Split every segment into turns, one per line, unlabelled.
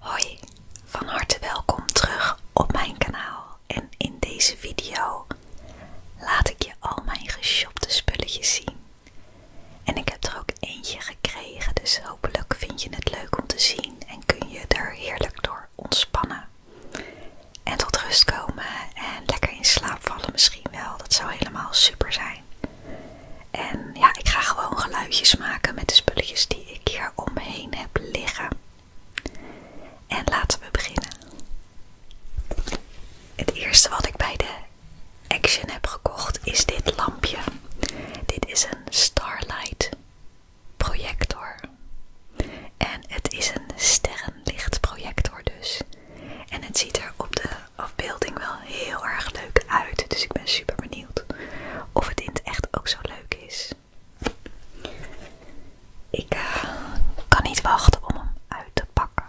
Hoi, van harte welkom terug op mijn kanaal en in deze video laat ik je al mijn geshopte spulletjes zien. En ik heb er ook eentje gekregen, dus hopelijk vind je het leuk om te zien en kun je er heerlijk door ontspannen. En tot rust komen en lekker in slaap vallen misschien wel, dat zou helemaal super zijn. En ja, ik ga gewoon geluidjes maken met de spulletjes die ik hier omheen heb liggen. En laten we beginnen. Het eerste wat ik bij de Action heb gekocht is dit lampje. Dit is een Starlight projector. En het is een sterrenlichtprojector dus. En het ziet er op de afbeelding wel heel erg leuk uit. Dus ik ben super benieuwd of het in het echt ook zo leuk is. Ik eh, kan niet wachten om hem uit te pakken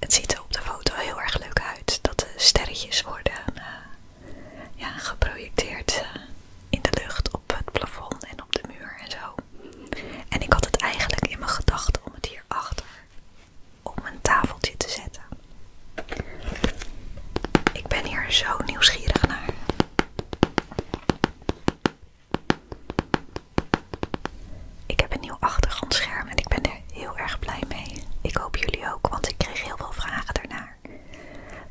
het ziet er op de foto heel erg leuk uit dat de sterretjes worden eh, geprojecteerd eh, in de lucht op het plafond en op de muur en zo. En ik had het eigenlijk in mijn gedachten om het hierachter op mijn tafeltje te zetten. Ik ben hier zo nieuwsgierig naar. Ik heb een nieuw achtergrondscherm en ik ben er heel erg blij mee. Ik hoop jullie ook, want ik kreeg heel veel vragen daarnaar.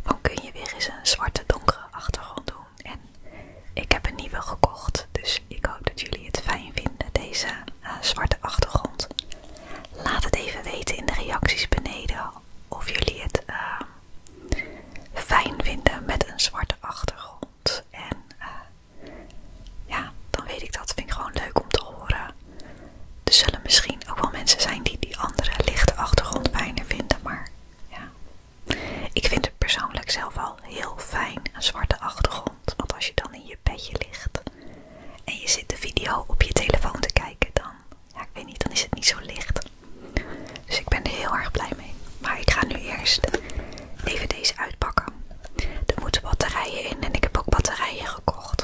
Dan kun je weer eens een zwarte donkere achtergrond doen? En ik heb een nieuwe gekocht, dus ik hoop dat jullie het fijn vinden, deze eh, zwarte achtergrond. Laat het even weten in de reacties beneden of jullie het ehm, fijn vinden met een zwarte achtergrond. En eh, ja, dan weet ik dat. Vind ik gewoon leuk om te horen. Er zullen misschien ook wel mensen zijn die die andere lichte achtergrond fijner vinden, maar ja. Ik vind het persoonlijk zelf al heel fijn, een zwarte achtergrond. Want als je dan in je bedje ligt en je zit de video op je telefoon te kijken, dan, ja, ik weet niet, dan is het niet zo licht. Dus ik ben er heel erg blij mee. Maar ik ga nu eerst Even deze uitpakken. Er moeten batterijen in en ik heb ook batterijen gekocht.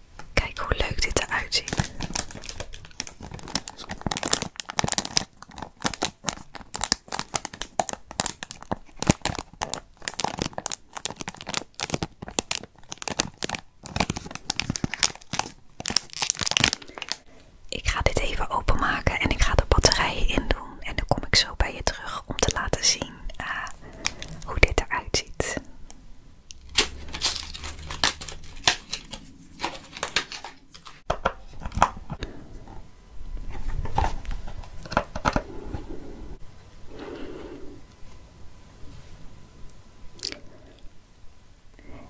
Kijk hoe leuk dit eruit ziet. Ik ga dit even openmaken en ik ga de batterijen indoen En dan kom ik zo bij je terug om te laten zien eh, hoe dit eruit ziet.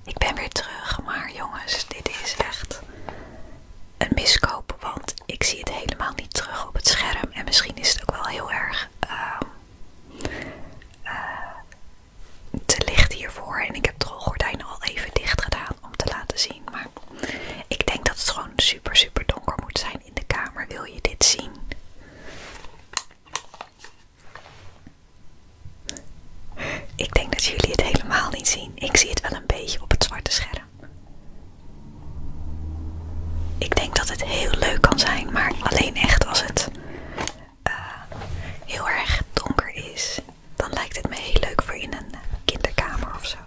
Ik ben weer terug, maar jongens, dit is echt een miskoop, want ik zie het helemaal niet terug op het scherm. En misschien is het ook wel heel erg ehm, eh, te licht hiervoor. En ik heb de rolgordijnen al even dicht gedaan om te laten zien. Maar ik denk dat het gewoon super, super donker moet zijn in de kamer. Wil je dit zien? Ik denk dat jullie het helemaal niet zien. Ik zie het wel een beetje op het zwarte scherm. Ik denk dat het heel leuk kan zijn, maar alleen echt als het eh, heel erg donker is, dan lijkt het me heel leuk voor in een kinderkamer of zo.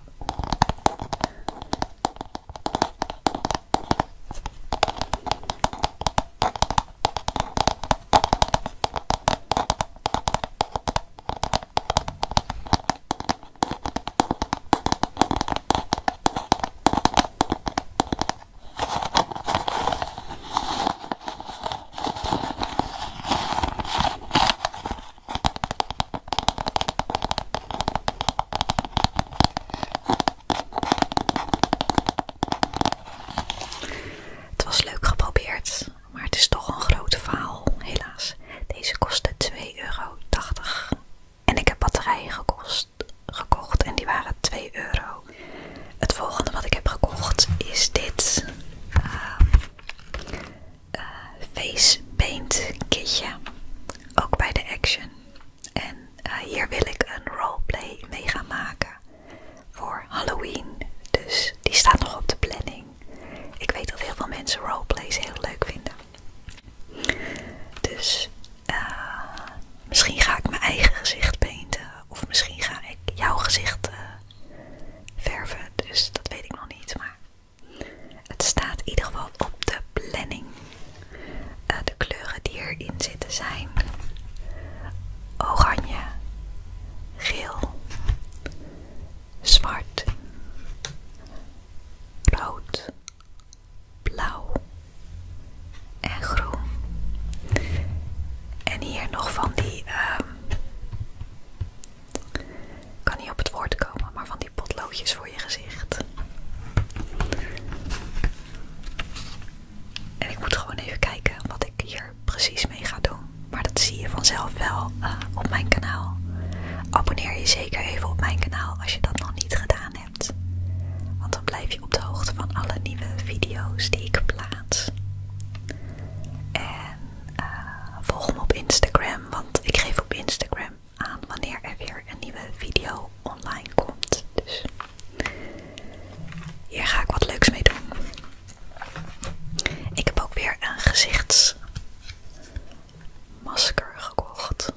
Het was leuk geprobeerd, maar het is toch een grote faal, helaas. Deze kostte 2,80 euro. En ik heb batterijen gekost, gekocht en die waren 2 euro. Het volgende wat ik heb gekocht is dit ehm, eh, face paint kitje. Ook bij de Action. En eh, hier wil ik een roleplay mee gaan maken voor Halloween. Dus die staat nog op de planning. Ik weet dat heel veel mensen roleplays heel leuk vinden. Dus eh, misschien ga ik mijn eigen gezicht painten. Of misschien ga ik jouw gezicht eh, verven. Dus dat weet ik nog niet. Maar het staat in ieder geval op de planning. Eh, de kleuren die erin zitten zijn oranje, geel, zwart, rood, blauw en groen. En hier nog van die, ehm, kan niet op het woord komen, maar van die potloodjes voor je gezicht. En ik moet gewoon even kijken wat ik hier precies mee ga doen. Maar dat zie je vanzelf wel eh, op mijn kanaal. Abonneer je zeker even op mijn kanaal als je dat nog niet gedaan hebt. Want dan blijf je op de hoogte van alle nieuwe video's die ik plaats. En eh, volg me op Instagram, want ik geef op Instagram aan wanneer er weer een nieuwe video online komt. Dus hier ga ik wat leuks mee doen. Ik heb ook weer een gezichtsmasker gekocht.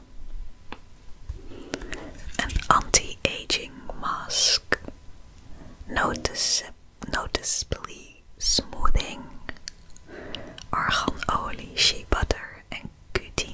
An anti-aging mask, notice, noticeably smoothing, argan olie, shea butter and Cutine.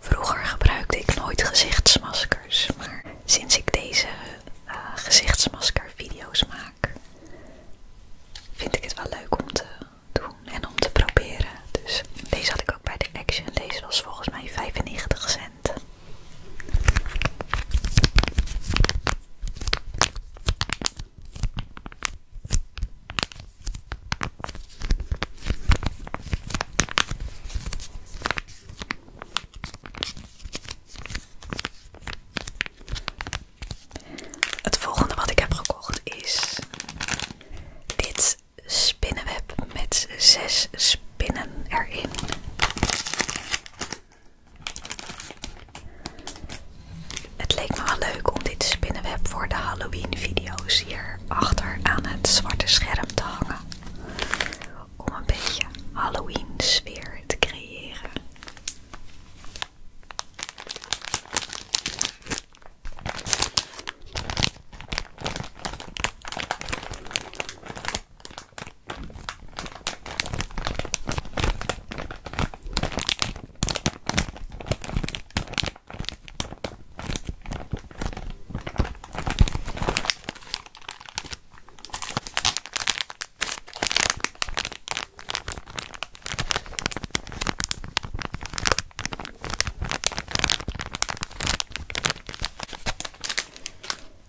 Vroeger gebruikte ik nooit gezichtsmaskers, maar sinds ik deze eh, gezichtsmasker video's maak, vind ik het wel leuk om te doen en om te proberen. Dus deze had ik ook bij de Action. Deze was volgens mij 95 cent. Het volgende wat ik heb gekocht is dit spinnenweb met zes spinnen erin. Het leek me wel leuk om dit spinnenweb voor de Halloween video's hier achter aan het zwarte scherm te hangen. Om een beetje Halloween sfeer te creëren.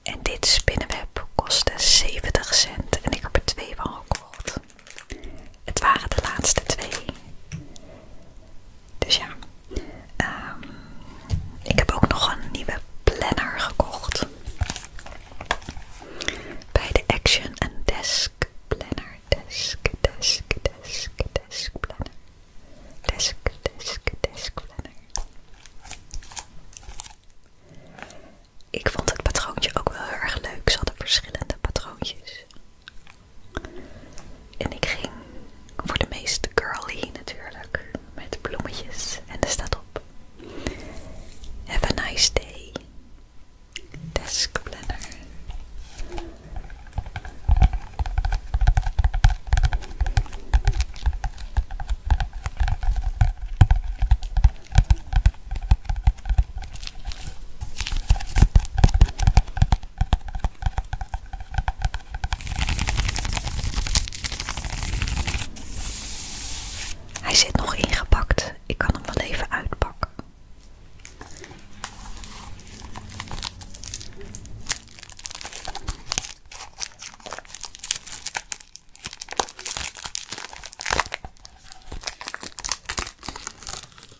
En dit spinnenweb kostte 70 cent en ik heb er twee van gekocht het waren de laatste twee. Dus ja, ehm, ik heb ook nog een nieuwe planner gekocht. Bij de Action en Desk Planner. Desk, desk, desk, desk planner. Desk, desk, desk planner. Ik vond het patroontje ook wel heel erg leuk. Ze hadden verschillende patroontjes. En ik ging voor de meest girly natuurlijk, met bloemetjes. En er staat op. Have a nice day. Desk planner. Hij zit nog ingepakt. Ik kan hem wel even uitpakken.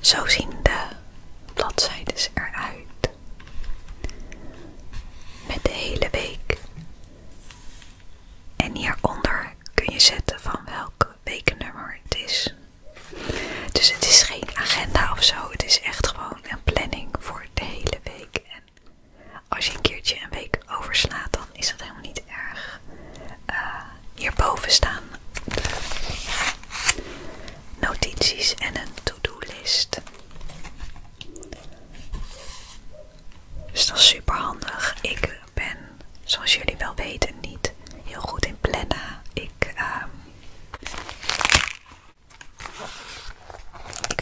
Zo zien de bladzijdes eruit. Met de hele week. En hieronder kun je zetten van welk weeknummer het is. Dus het is geen agenda of zo. Het is echt gewoon een planning voor de hele week. En als je een keertje een week overslaat, dan is dat helemaal niet erg. Hier eh, hierboven staan notities en een to-do-list. Dus dat is super handig. Ik ben, zoals jullie wel weten, niet heel goed in plannen. ik ehm,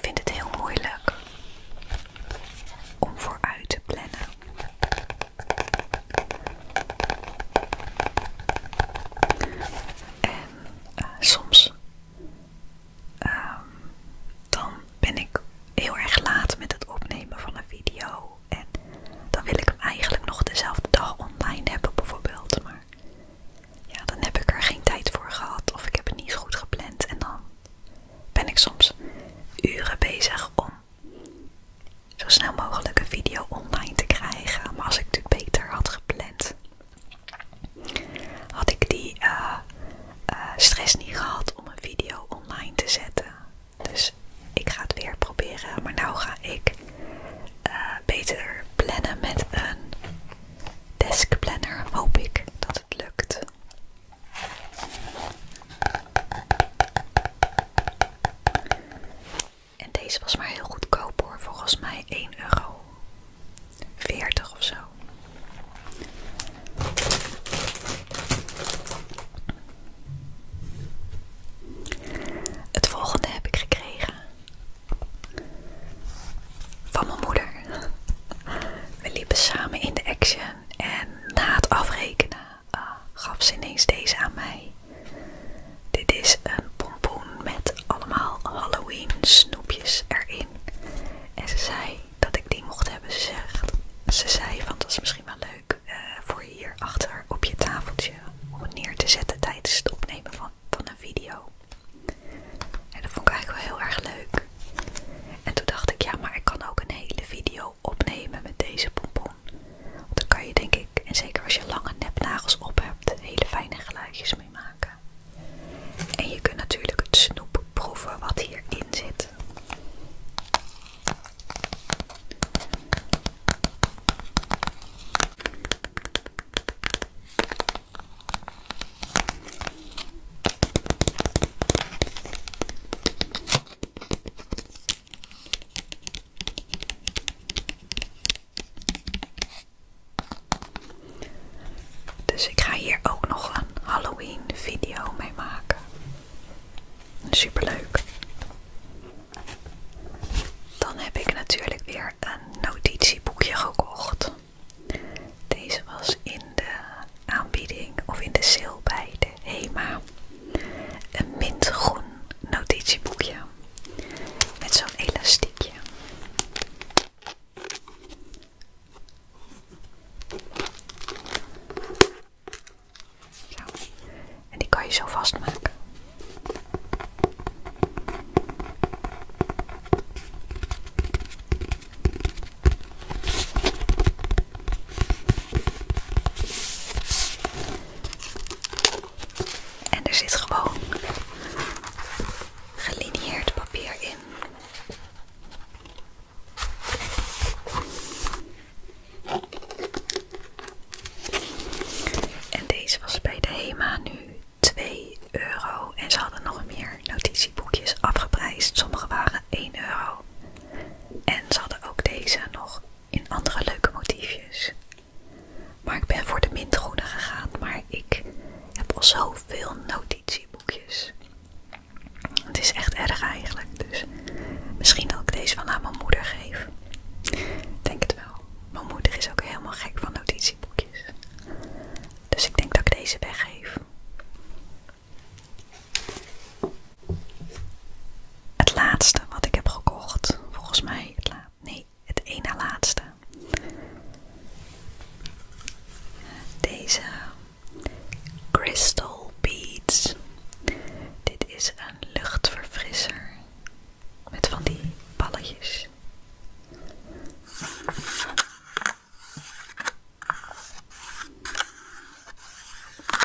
vind het heel moeilijk om vooruit te plannen. En eh, soms ehm, dan ben ik heel erg laat met het opnemen van een video. En dan wil ik hem eigenlijk nog dezelfde dag online hebben bijvoorbeeld. Maar ja, dan heb ik er geen tijd voor gehad of ik heb het niet goed gepland. En dan ben ik soms uren bezig om zo snel mogelijk een video online te krijgen. Maar als ik het beter had gepland, had ik die eh, eh, stress niet gehad om een video online te zetten. Dus ik ga het weer proberen. Maar nou ga ik eh, beter plannen met een deskplanner. Hoop ik dat het lukt. En deze was maar heel goedkoop hoor, volgens mij 1 euro 40 of zo. Het volgende heb ik gekregen van mijn moeder. We liepen samen in de action en na het afrekenen Ah, gaf ze ineens deze aan mij. Dit is een pompoen met allemaal Halloween snoepjes erin. En ze zei dat ik die mocht hebben. Ze, zegt, ze zei van dat is misschien wel leuk eh, voor voor hier achter op je tafeltje om neer te zetten tijdens het opnemen van, van een video. En dat vond ik eigenlijk wel heel erg leuk. En toen dacht ik, ja, maar ik kan ook een hele video opnemen met deze pompon. dan kan je denk ik, en zeker als je lange nepnagels op hebt, hele fijne geluidjes mee maken. En je kunt natuurlijk het snoep proeven wat hierin zit. Dus ik ga hier ook nog een Halloween video mee maken. Super leuk! Dan heb ik natuurlijk weer een notitieboekje gekocht. Deze was in de aanbieding of in de sale bij de. HEMA. Een mintgroen notitieboekje met zo'n elastiekje. Zo. En die kan je zo vastmaken. En er zit gewoon gelineerd papier in. En deze was bij de HEMA nu 2 euro. En ze hadden nog meer notitieboekjes afgeprijsd. Sommige waren 1 euro. En ze hadden ook deze nog in andere leuke motiefjes. Maar ik ben voor de mintgroene gegaan, maar ik heb al zoveel notitieboekjes. Het is echt erg eigenlijk, dus misschien dat ik deze wel aan mijn moeder geef. Ik denk het wel. Mijn moeder is ook helemaal gek van notitieboekjes. Dus ik denk dat ik deze weggeef. Het laatste wat ik heb gekocht, volgens mij Nee, het ene laatste. Deze Crystal Beads. Dit is een luchtverfrisser met van die balletjes.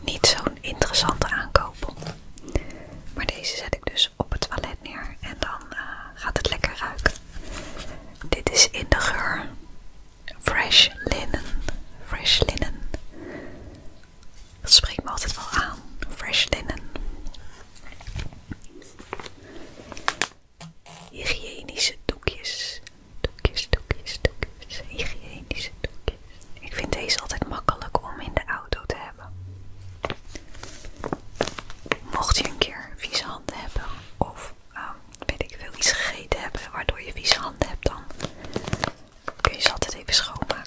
Niet zo'n interessante aankoop. Maar deze zet ik dus op het toilet neer en dan eh, gaat het lekker ruiken. Dit is in de geur Fresh Linen. Fresh Linen. Dat spreekt me altijd wel aan. Fresh Linen. Hygiënische doekjes. Doekjes, doekjes, doekjes. Hygiënische doekjes. Ik vind deze altijd makkelijk om in de auto te hebben. Mocht je een keer vieze handen hebben of ehm, weet ik veel iets gegeten hebben waardoor je vieze handen hebt, dan kun je ze altijd even schoonmaken.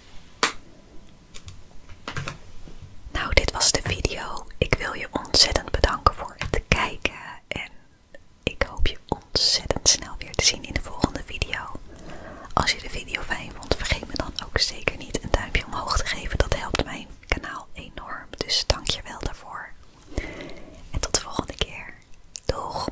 Nou, dit was de video. Ik wil je ontzettend bedanken voor het kijken. En ik hoop je ontzettend snel weer te zien in de volgende video. Als je de video fijn vond, vergeet me dan ook zeker niet een duimpje omhoog te geven. Dat helpt mijn kanaal enorm. Dus dank je wel daarvoor. En tot de volgende keer. Doeg!